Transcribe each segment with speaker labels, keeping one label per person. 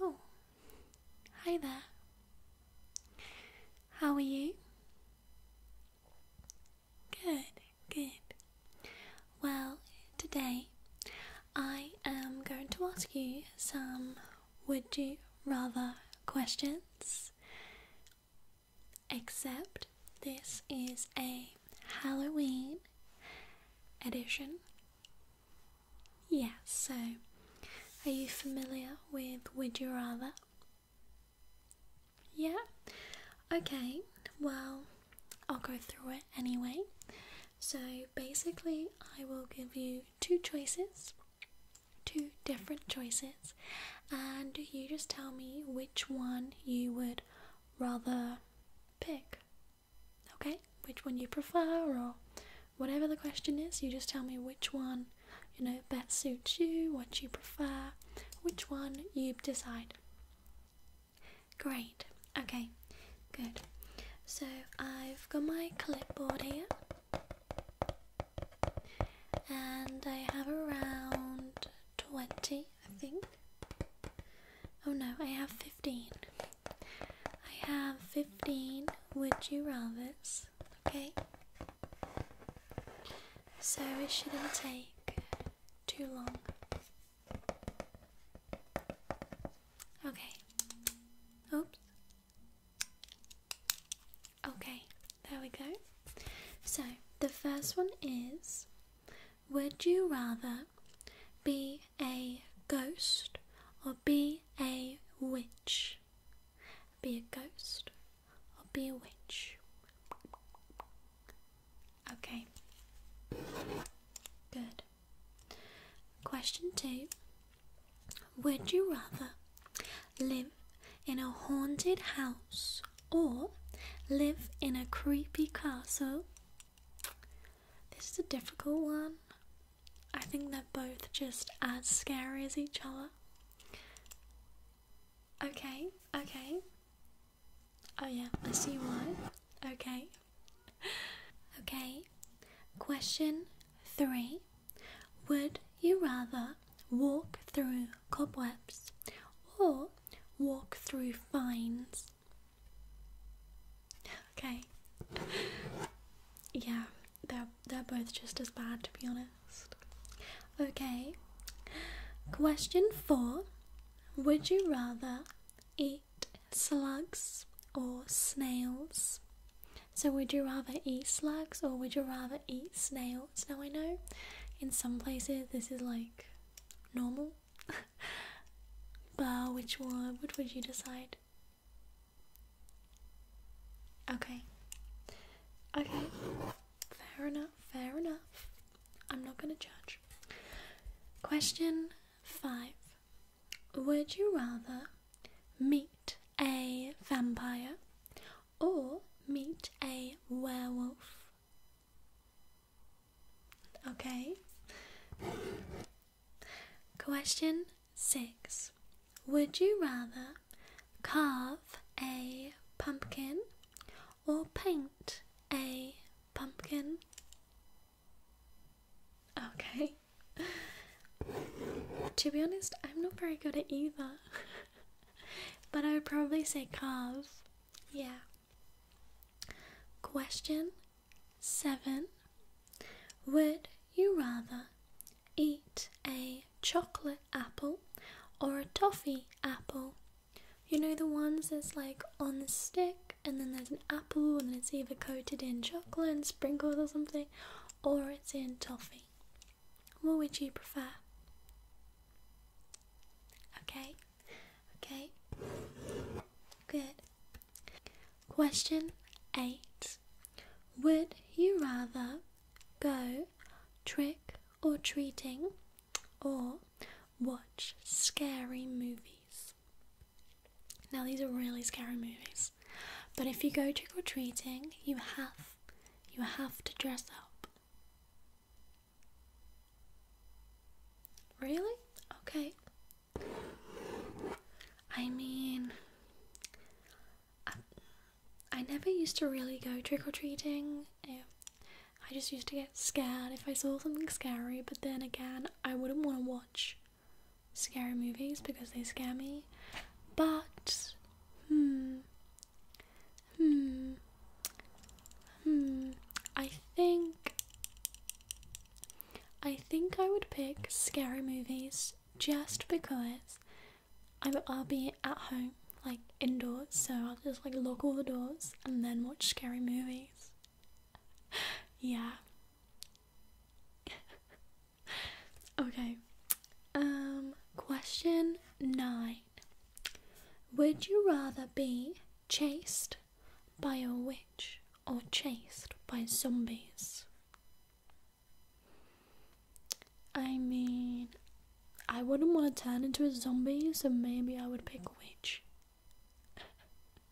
Speaker 1: Oh, hi there. How are you? Good, good. Well, today I am going to ask you some would you rather questions except this is a Halloween edition. Yes, yeah, so are you familiar with Would You Rather? Yeah? Okay, well, I'll go through it anyway. So basically, I will give you two choices, two different choices, and you just tell me which one you would rather pick. Okay? Which one you prefer or whatever the question is, you just tell me which one, you know, best suits you, what you prefer, which one you decide. Great. Okay. Good. So, I've got my clipboard here. And I have around 20 I think. Oh no, I have 15. I have 15 would you rathers, okay? So it shouldn't take too long. Okay. Oops. Okay, there we go. So, the first one is Would you rather be a ghost or be a witch? Be a ghost or be a witch? Okay. Good. Question two Would you rather live in a haunted house or live in a creepy castle. This is a difficult one. I think they're both just as scary as each other. Okay, okay. Oh, yeah, I see one. Okay. Okay. Question three Would you rather walk through cobwebs or walk through fines. Okay. Yeah, they're they're both just as bad to be honest. Okay. Question four. Would you rather eat slugs or snails? So would you rather eat slugs or would you rather eat snails? Now I know in some places this is like normal. but which one? Which would you decide? Okay. Okay. Fair enough. Fair enough. I'm not gonna judge. Question five. Would you rather meet a vampire or meet a werewolf? Okay. Question six Would you rather carve a pumpkin or paint a pumpkin? Okay. to be honest, I'm not very good at either. but I would probably say carve. Yeah. Question 7 Would you rather eat a chocolate apple or a toffee apple? You know the ones that's like on the stick and then there's an apple and it's either coated in chocolate and sprinkles or something or it's in toffee. What would you prefer? Okay, Okay? Good. Question 8 Would you rather go trick or treating or watch scary movies? Now, these are really scary movies. But if you go trick or treating, you have you have to dress up. Really? Okay. I mean, I, never used to really go trick or treating. I just used to get scared if I saw something scary, but then again, I wouldn't want to watch scary movies because they scare me. But, hmm, Hmm. Hmm. I think. I think I would pick scary movies just because i I'll be at home, like indoors, so I'll just like lock all the doors and then watch scary movies. yeah. okay. Um, question nine. Would you rather be chased by a witch or chased by zombies? I mean, I wouldn't want to turn into a zombie, so maybe I would pick witch.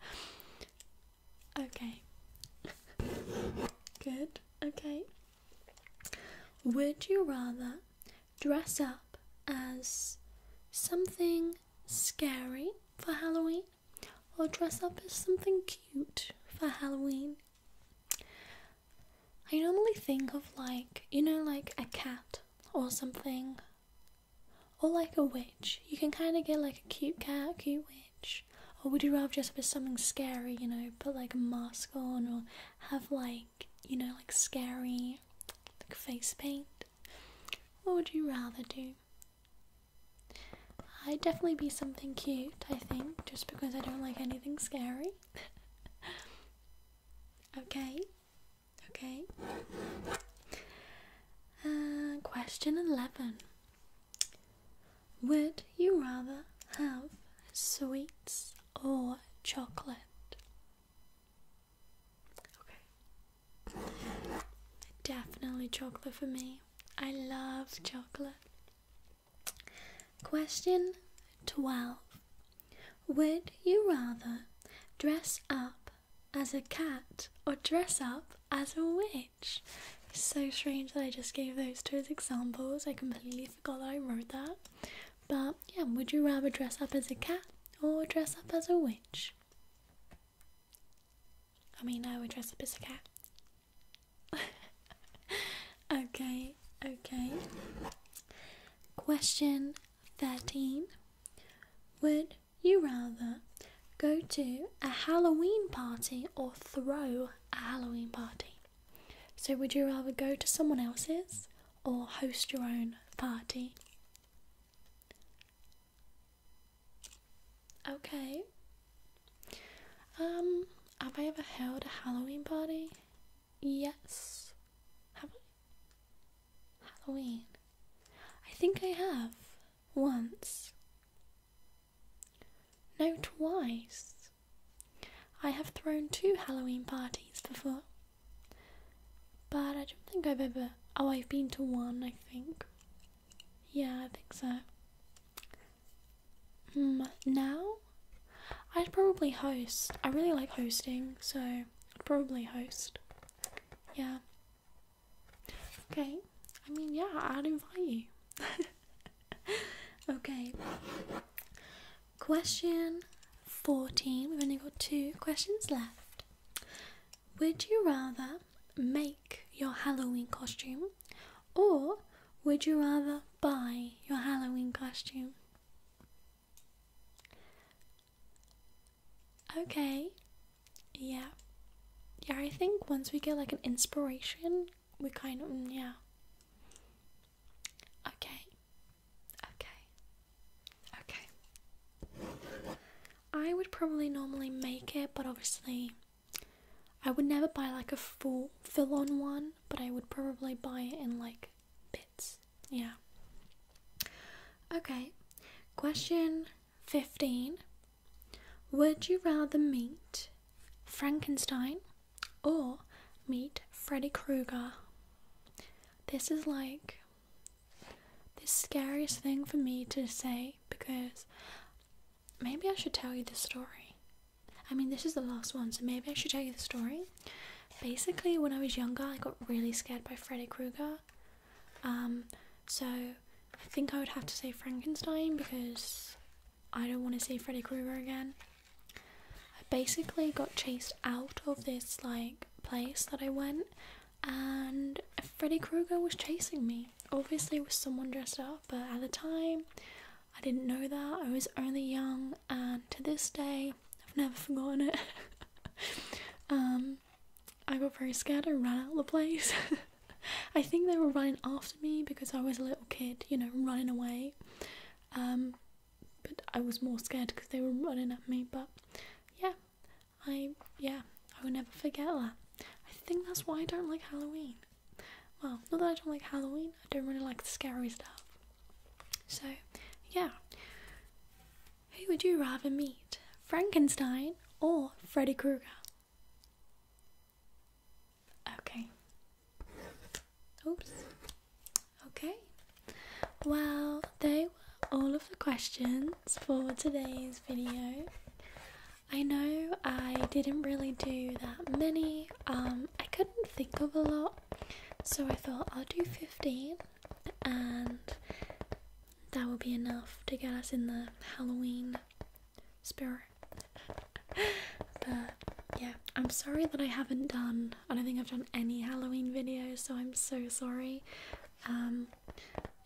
Speaker 1: okay. Good. Okay. Would you rather dress up as something scary for Halloween or dress up as something cute for Halloween. I normally think of like, you know, like a cat or something, or like a witch. You can kind of get like a cute cat, a cute witch, or would you rather dress up as something scary, you know, put like a mask on or have like, you know, like scary like face paint? What would you rather do? I'd definitely be something cute, I think, just because I don't like anything scary. okay, okay. Uh, question 11 Would you rather have sweets or chocolate? Okay. Definitely chocolate for me. I love chocolate. Question 12. Would you rather dress up as a cat or dress up as a witch? so strange that I just gave those two as examples. I completely forgot that I wrote that. But yeah, would you rather dress up as a cat or dress up as a witch? I mean, I would dress up as a cat. okay, okay. Question 13 Would you rather go to a Halloween party or throw a Halloween party? So, would you rather go to someone else's or host your own party? Okay. Um, have I ever held a Halloween party? Yes. Have I? Halloween. I think I have. Once. No, twice. I have thrown two Halloween parties before. But I don't think I've ever. Oh, I've been to one, I think. Yeah, I think so. Mm, now? I'd probably host. I really like hosting, so I'd probably host. Yeah. Okay. I mean, yeah, I'd invite you. okay. Question 14. We've only got two questions left. Would you rather make your Halloween costume or would you rather buy your Halloween costume? Okay, yeah. Yeah, I think once we get like an inspiration, we kind of, mm, yeah. Okay, Okay. Okay. I would probably normally make it, but obviously I would never buy like a full fill on one, but I would probably buy it in like bits. Yeah. Okay. Question 15. Would you rather meet Frankenstein or meet Freddy Krueger? This is like the scariest thing for me to say because maybe I should tell you the story. I mean, this is the last one, so maybe I should tell you the story. Basically, when I was younger, I got really scared by Freddy Krueger. Um, so I think I would have to say Frankenstein because I don't want to see Freddy Krueger again. I basically got chased out of this like place that I went and Freddy Krueger was chasing me. Obviously, it was someone dressed up, but at the time, I didn't know that. I was only young, and to this day, I've never forgotten it. um, I got very scared and ran out of the place. I think they were running after me because I was a little kid, you know, running away. Um, but I was more scared because they were running at me. But yeah, I yeah, I will never forget that. I think that's why I don't like Halloween. Well, not that I don't like Halloween, I don't really like the scary stuff. So, yeah. Who would you rather meet? Frankenstein or Freddy Krueger? Okay. Oops. Okay. Well, they were all of the questions for today's video. I know I didn't really do that many. Um, I couldn't think of a lot, so I thought I'll do 15 and that will be enough to get us in the Halloween spirit. but yeah, I'm sorry that I haven't done, I don't think I've done any Halloween videos, so I'm so sorry. Um,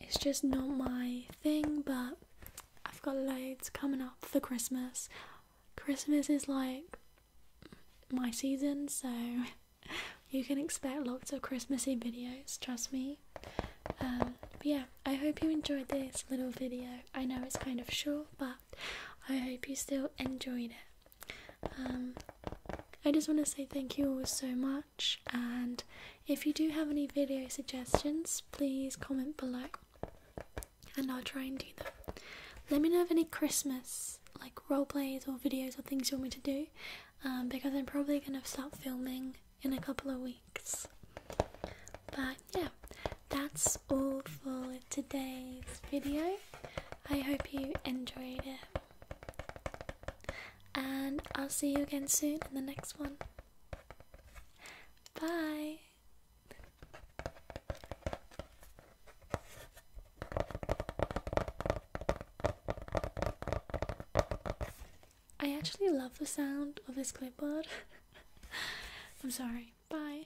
Speaker 1: it's just not my thing, but I've got loads coming up for Christmas. Christmas is like my season, so you can expect lots of Christmassy videos, trust me. Um, yeah, I hope you enjoyed this little video. I know it's kind of short, but I hope you still enjoyed it. Um, I just want to say thank you all so much. And if you do have any video suggestions, please comment below and I'll try and do them. Let me know of any Christmas like role plays or videos or things you want me to do um, because I'm probably going to start filming in a couple of weeks. But yeah, that's all for today's video. I hope you enjoyed it. And I'll see you again soon in the next one. Bye. I actually love the sound of this clipboard. I'm sorry. Bye.